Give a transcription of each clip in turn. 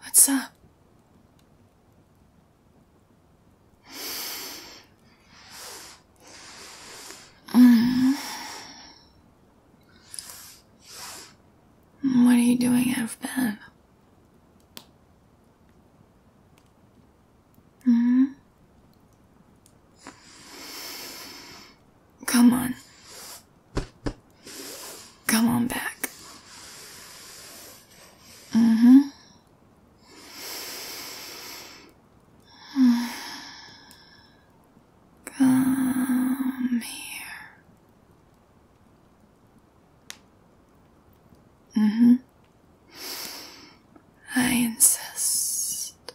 What's up? Mm. What are you doing out of bed? Mm-hmm. Come on. Come on back. hmm. Come here. hmm. I insist.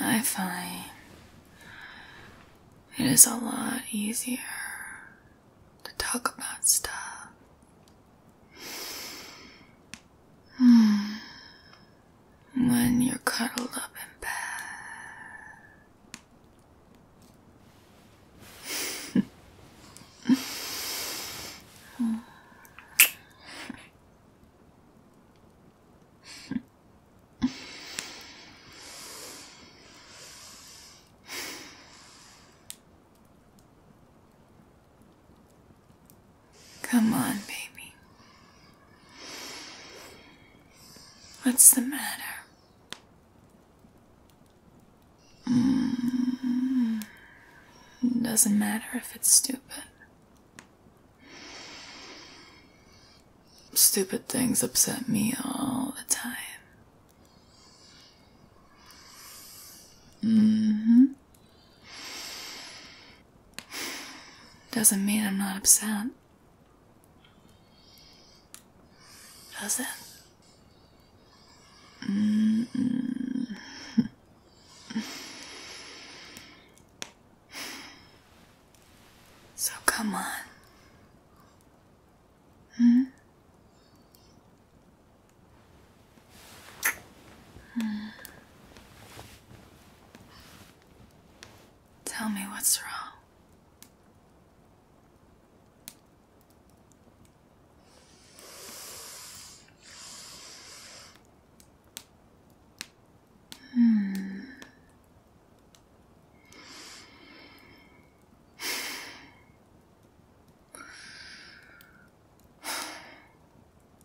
I find it is a lot easier to talk about stuff. Hmm. When you're cuddled up in bed. Hmm. Come on, baby. What's the matter? Mm. doesn't matter if it's stupid. Stupid things upset me all the time. Mm-hmm. Doesn't mean I'm not upset. Does it? Mm-hmm. So come on. Hmm? hmm? Tell me what's wrong. Hmm.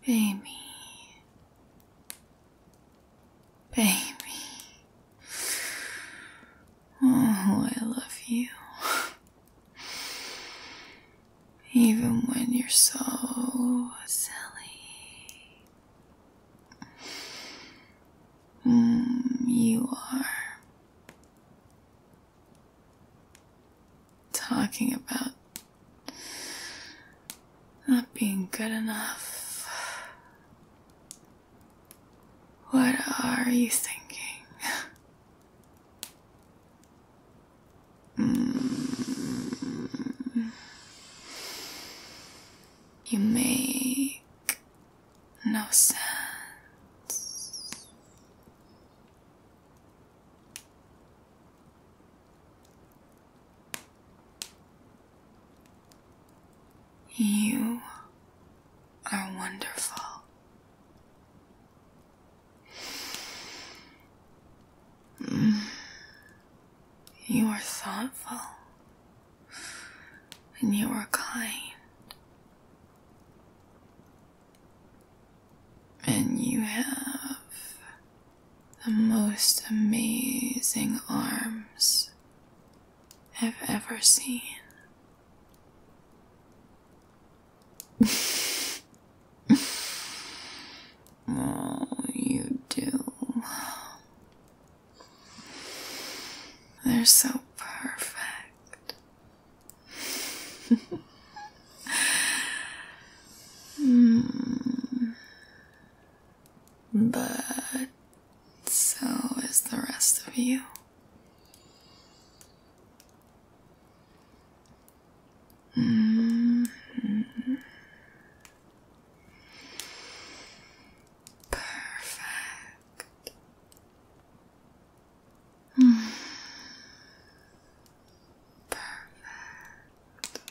Baby. Baby. Oh, I love you. Even when you're so silly. Hmm, you are talking about not being good enough. What are you thinking? Mm. You make no sense. You are wonderful. Mm. You are thoughtful. And you are kind. And you have the most amazing arms I've ever seen. Oh, you do. They're so perfect. Hmm. But so is the rest of you. Hmm. Perfect. Mm. Perfect.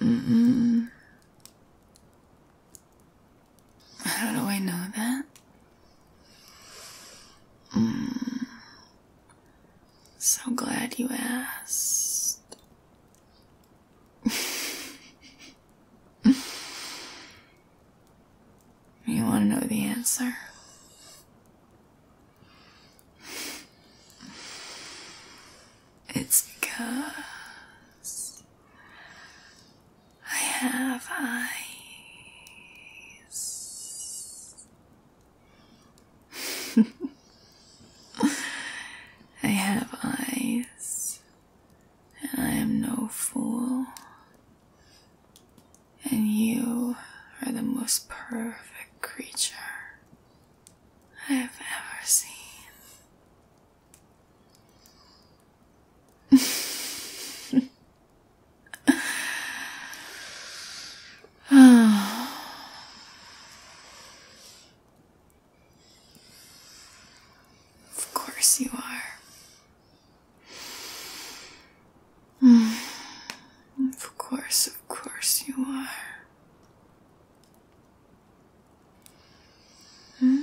Mm -mm. How do I know that? Mm. So glad you asked. you want to know the answer? It's because I have eyes. I have eyes, and I am no fool. And you are the most perfect creature I have ever seen. of course you are. Of course, of course you are. Hmm?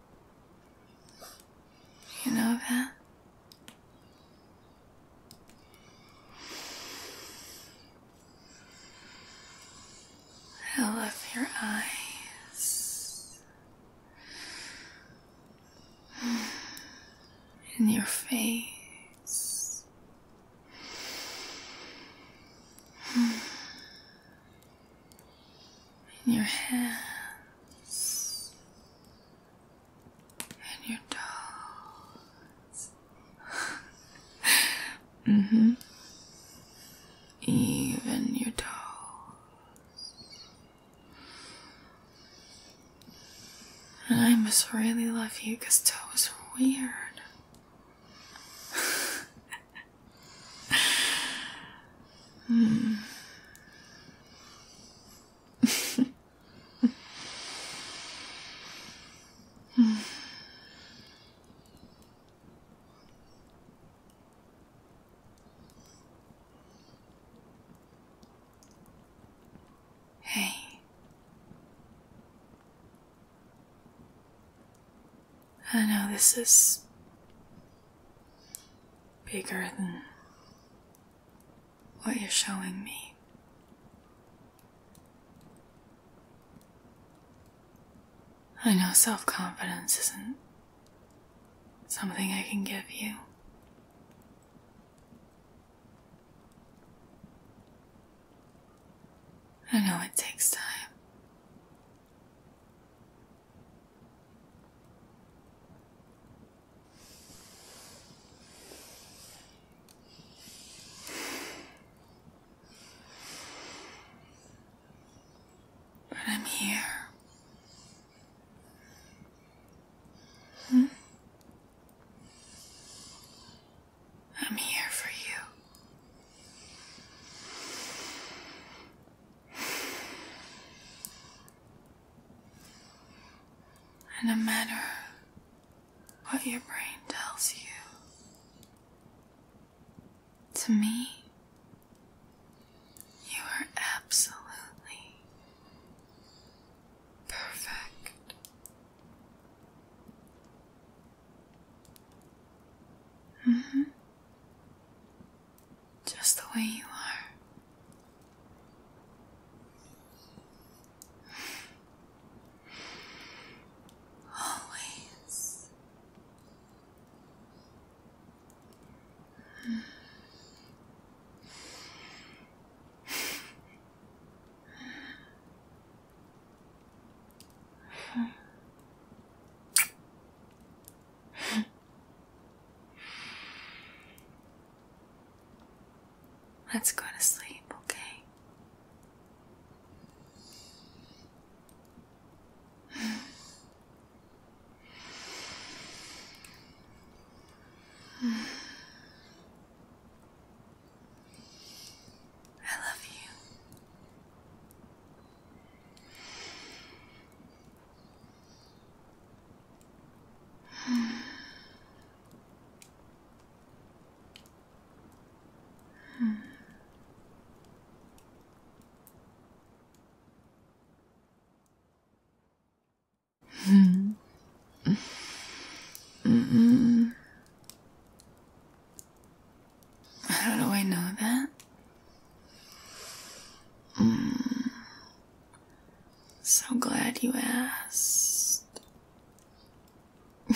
You know that? I love your eyes and your face. In your hands, and your toes. hmm. Even your toes. And I must really love you because toes are weird. hmm. I know this is bigger than what you're showing me. I know self confidence isn't something I can give you. I know it takes time. But I'm here. Hmm? I'm here for you. And no matter what your brain tells you, to me, you are absolutely perfect. -hmm just the way you are. Always. Let's go to sleep, okay? I love you. How do I know that? Mm. So glad you asked.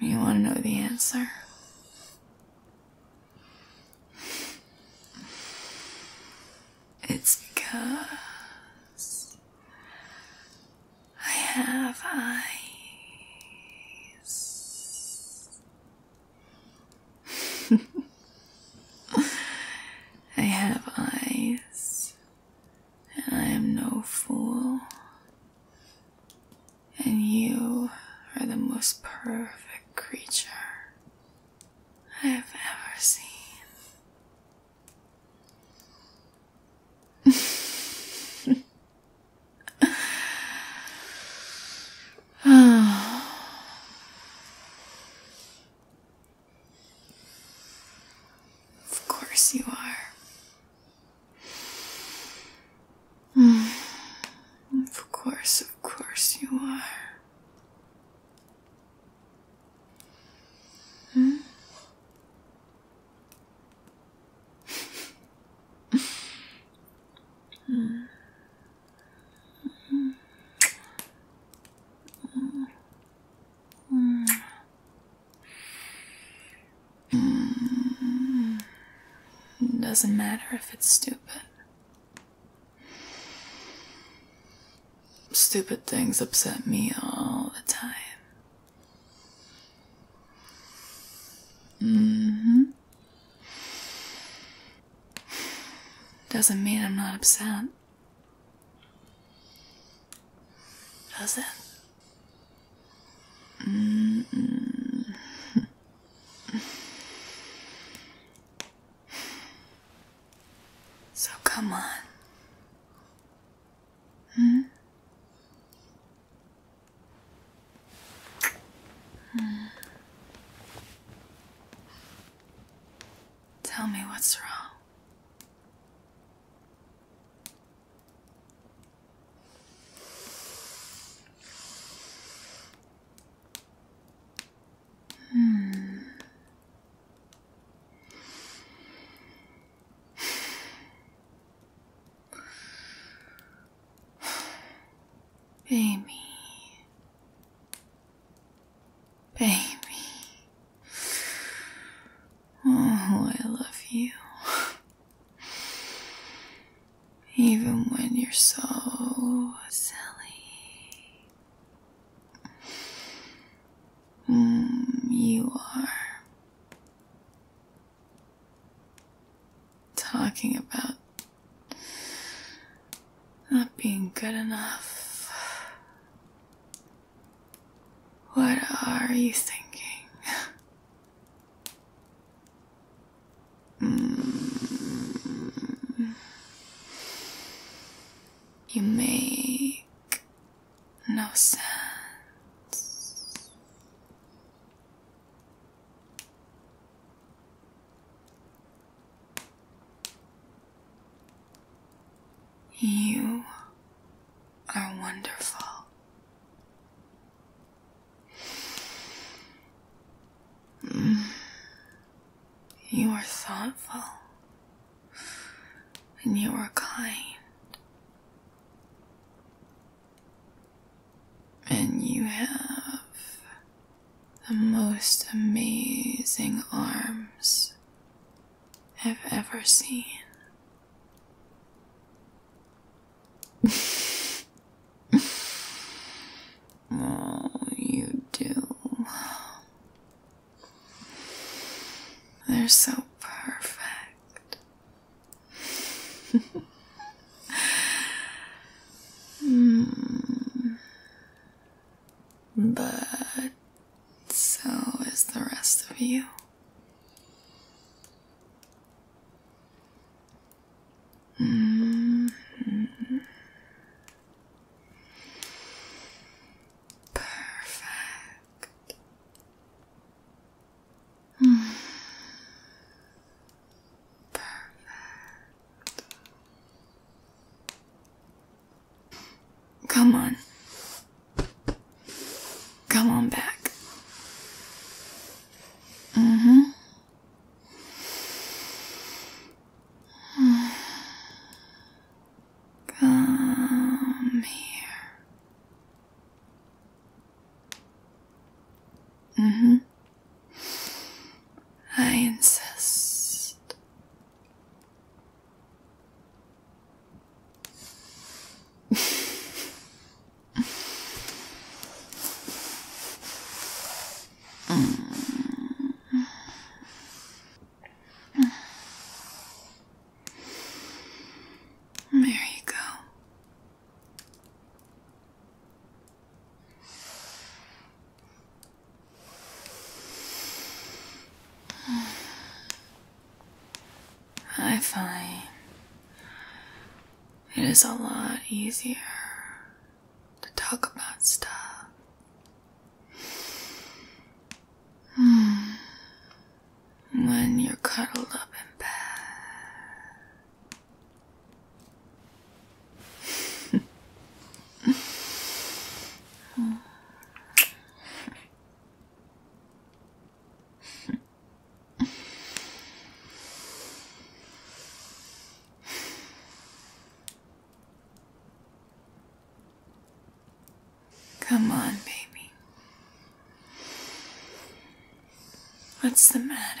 you want to know the answer? It's because I have eyes. I have eyes, and I am no fool. And you are the most perfect creature I have ever seen. of course you are. Of course, of course you are. Hmm? hmm. Mm. doesn't matter if it's stupid. Stupid things upset me all the time. Mm doesn't mean I'm not upset. Does it? Mm-hmm. so come on. Hmm? Tell me what's wrong. Hmm. Baby. Baby. Oh, I love you. Even when you're so silly. Mm, you are talking about not being good enough. What are you thinking? Hmm. You make no sense. You are wonderful. Mm. You are thoughtful and you are kind. And you have the most amazing arms I've ever seen. oh, you do. They're so perfect. mm. But so is the rest of you. Hmm. Perfect. Hmm. Come on. Come on back. hmm. Come here. hmm. I insist. Mm. There you go. I find it is a lot easier to talk about stuff. Hmm. When you're cuddled up in bed Come on, baby. What's the matter?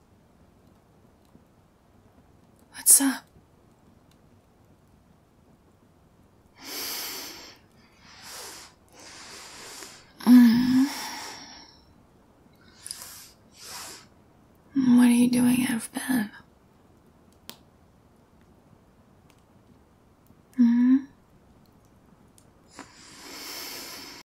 What's up? Mm. What are you doing out of bed? Mm-hmm.